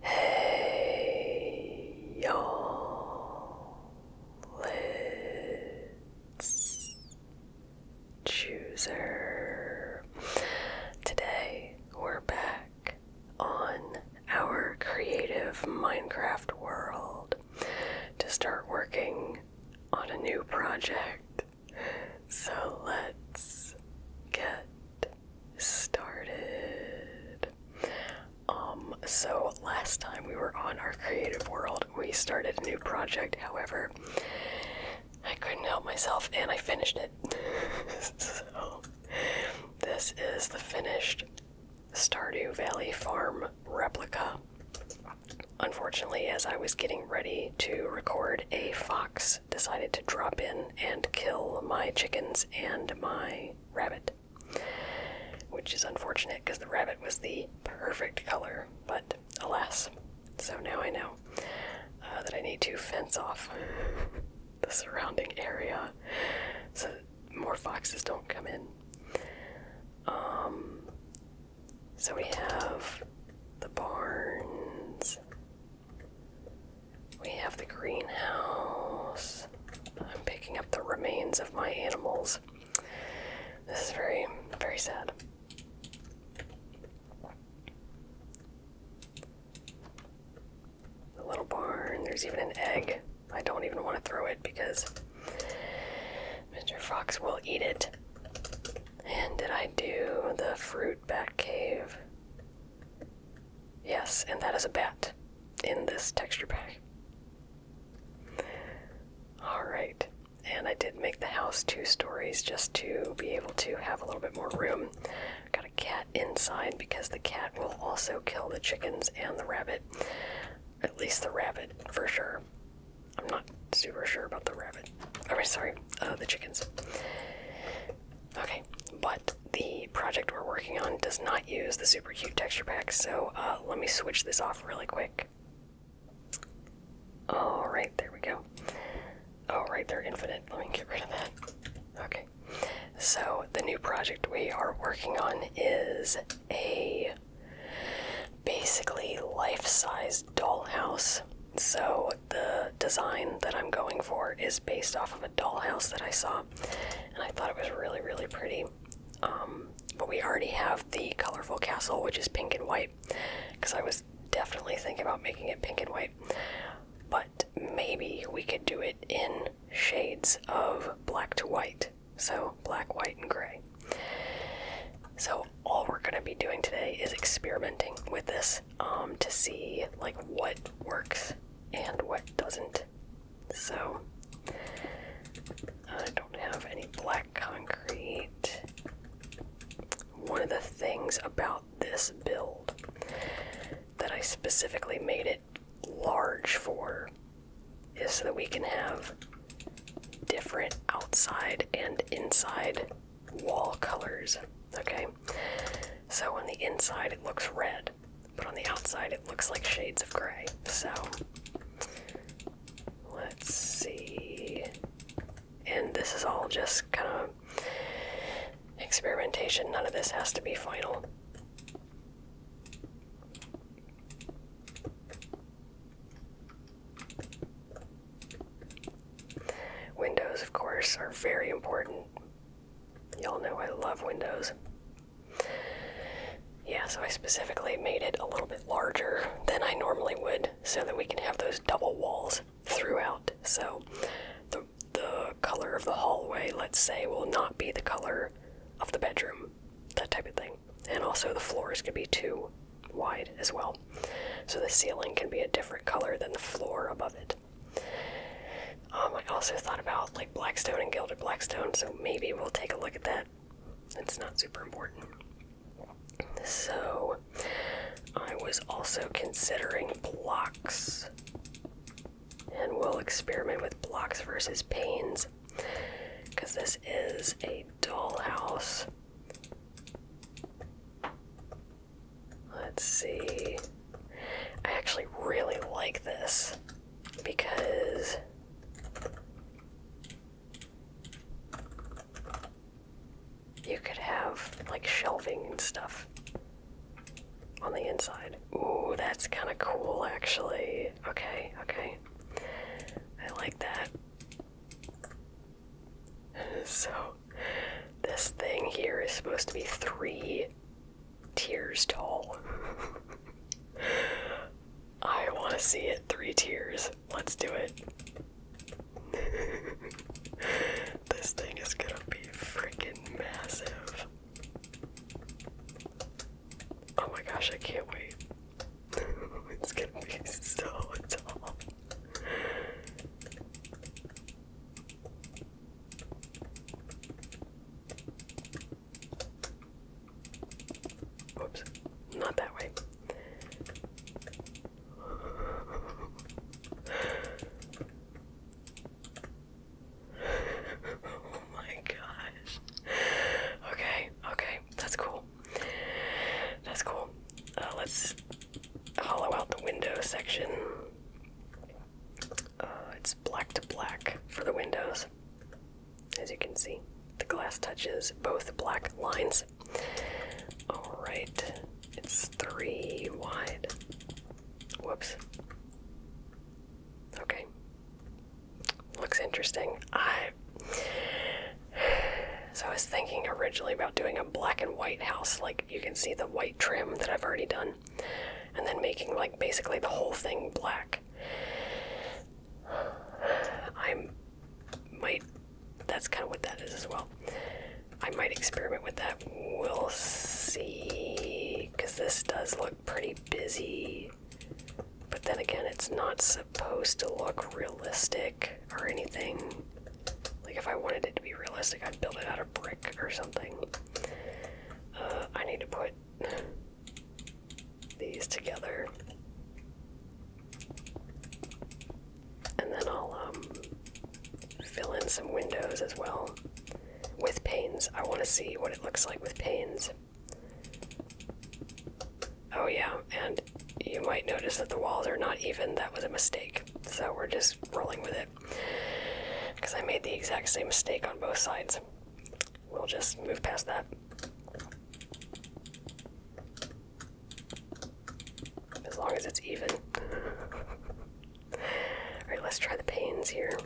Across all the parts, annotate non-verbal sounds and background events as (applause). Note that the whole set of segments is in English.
Hey, you let's choose Today, we're back on our creative Minecraft world to start working on a new project. So let's get started. Um, so last time we were on our creative world, we started a new project, however, I couldn't help myself and I finished it. (laughs) so, this is the finished Stardew Valley Farm replica. Unfortunately, as I was getting ready to record, a fox decided to drop in and kill my chickens and my rabbit. Which is unfortunate because the rabbit was the perfect color, but alas. So now I know uh, that I need to fence off (laughs) the surrounding area so that more foxes don't come in. Um, so we have the barns. We have the greenhouse. I'm picking up the remains of my animals. This is very, very sad. The little barn. There's even an egg. I don't even want to throw it because Mr. Fox will eat it. And did I do the fruit? Bat Cave. Yes, and that is a bat in this texture pack. Alright, and I did make the house two stories just to be able to have a little bit more room. Got a cat inside because the cat will also kill the chickens and the rabbit. At least the rabbit, for sure. I'm not super sure about the rabbit rabbit. oh, sorry, uh, the chickens. Okay, but the project we're working on does not use the super cute texture pack, so uh, let me switch this off really quick. All right, there we go. All they're infinite. Let me get rid of that. Okay, so the new project we are working on is a basically life-size Dollhouse. So the design that I'm going for is based off of a dollhouse that I saw, and I thought it was really, really pretty. Um, but we already have the colorful castle, which is pink and white, because I was definitely thinking about making it pink and white. But maybe we could do it in shades of black to white, so black, white, and gray. So all we're gonna be doing today is experimenting with this um, to see like what works and what doesn't. So I don't have any black concrete. One of the things about this build that I specifically made it large for is so that we can have different outside and inside wall colors. Okay, so on the inside it looks red, but on the outside it looks like shades of gray. So let's see. And this is all just kind of experimentation, none of this has to be final. Windows, of course, are very important. Y'all know I love windows. Yeah, so I specifically made it a little bit larger than I normally would so that we can have those double walls throughout. So the, the color of the hallway, let's say, will not be the color of the bedroom, that type of thing and also the floors can be too wide as well. So the ceiling can be a different color than the floor above it. Um, I also thought about like Blackstone and Gilded Blackstone, so maybe we'll take a look at that. It's not super important. So I was also considering blocks. And we'll experiment with blocks versus panes because this is a dollhouse. Let's see. I actually really like this because you could have like shelving and stuff on the inside. Ooh, that's kind of cool actually. Okay, okay. I like that. (laughs) So, this thing here is supposed to be three tiers tall. (laughs) I want to see it three tiers. Let's do it. (laughs) this thing is gonna be freaking massive. Oh my gosh, I can't wait. (laughs) it's gonna be so tall. Oops, not that way. (laughs) oh my gosh. (laughs) Okay, okay, that's cool. That's cool. Uh, let's hollow out the window section. Uh, it's black to black for the windows. As you can see, the glass touches both black lines. Alright, it's three wide. Whoops. Okay, looks interesting. I so I was thinking originally about doing a black and white house, like you can see the white trim that I've already done, and then making like basically the whole thing black. I'm might that's kind of what that is as well. I might experiment with that. We'll see because this does look pretty busy but then again, it's not supposed to look realistic or anything. Like, if I wanted it to be realistic, I'd build it out of brick or something. Uh, I need to put these together. And then I'll um, fill in some windows as well with panes. I want to see what it looks like with panes. Oh, yeah, and you might notice that the walls are not even. That was a mistake. So we're just rolling with it. Because I made the exact same mistake on both sides. We'll just move past that. As long as it's even. (laughs) Alright, let's try the panes here.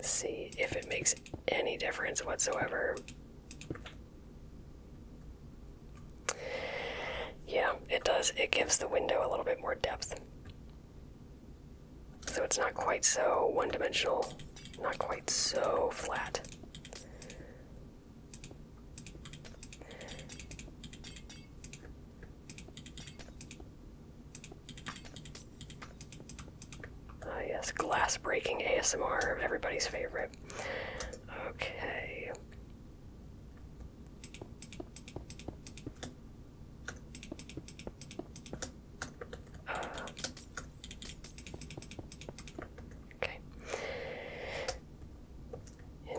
See if it makes any difference whatsoever. Yeah, it does. It gives the window a little bit more depth. So it's not quite so one dimensional, not quite so flat. Ah, yes, glass breaking ASMR, everybody's favorite. Okay. Uh, okay.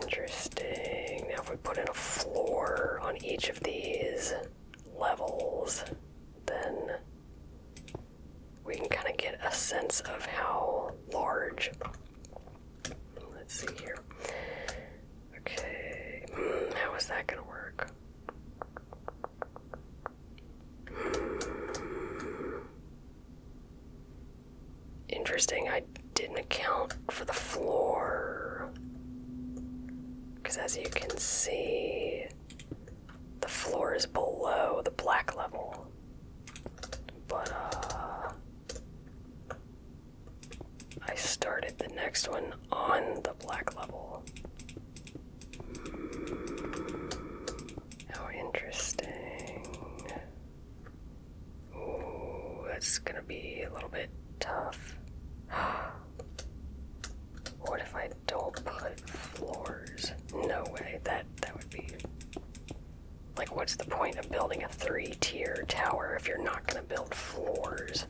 Interesting. Now, if we put in a floor on each of these levels, then we can kind of get a sense of how large. Let's see here. Okay, hmm, how is that going to work? Hmm. Interesting, I didn't account for the floor. Because as you can see, the floor is below the black level. But, uh. I started the next one on the black level. Hmm. how interesting. Ooh, that's gonna be a little bit tough. (gasps) what if I don't put floors? No way. That that would be like what's the point of building a three-tier tower if you're not gonna build floors?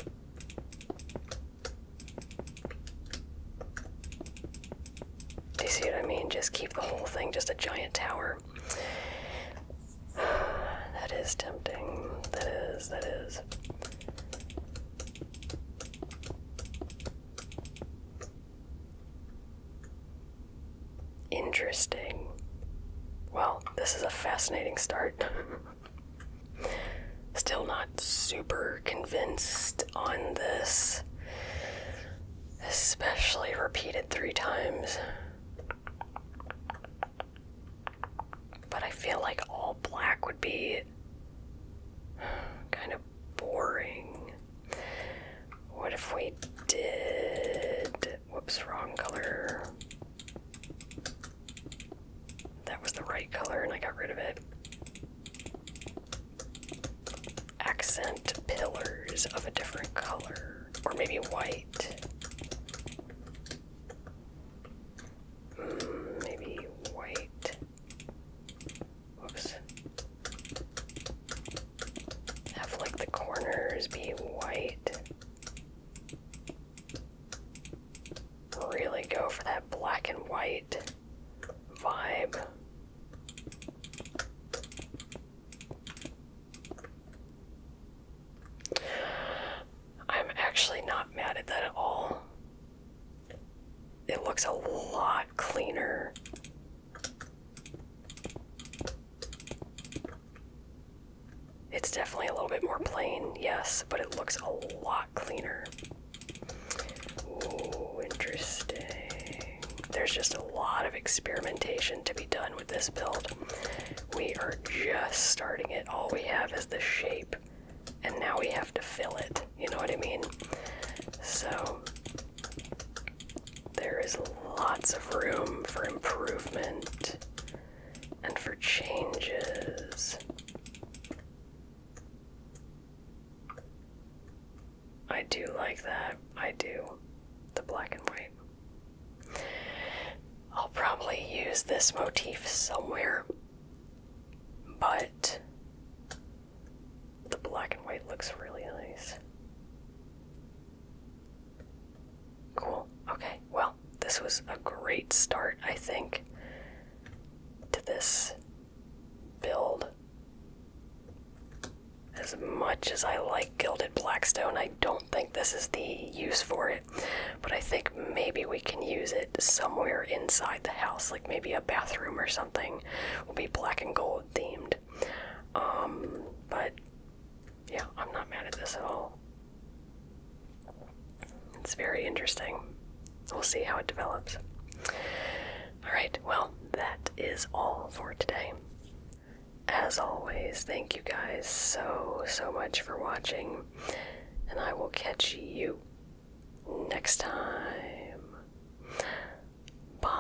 Do you see what I mean? Just keep the whole thing just a giant tower. (sighs) That is tempting. That is, that is. Interesting. Well, this is a fascinating start. (laughs) Still not super convinced on this especially repeated three times. But I feel like all black would be kind of boring. What if we did. Whoops, wrong color. That was the right color and I got rid of it accent pillars of a different color, or maybe white. Hmm, maybe white. Whoops. Have like the corners be white. Really go for that black and white vibe. I'm actually not mad at that at all. It looks a lot cleaner. It's definitely a little bit more plain, yes, but it looks a lot cleaner. Ooh, interesting. There's just a lot of experimentation to be done with this build. We are just starting it. All we have is the shape, and now we have to fill it. You know what I mean? So, there is lots of room for improvement and for changes. I do like that. I do. The black and white. I'll probably use this motif somewhere, but the black and white looks really nice. Cool. Okay, well, this was a great start, I think, to this build. As much as I like Gilded Blackstone, I don't think this is the use for it. But I think maybe we can use it somewhere inside the house, like maybe a bathroom or something. Will be black and gold themed. Um, but yeah, I'm not mad at this at all. It's very interesting. We'll see how it develops. All right, well, that is all for today. As always, thank you guys so, so much for watching, and I will catch you next time. Bye.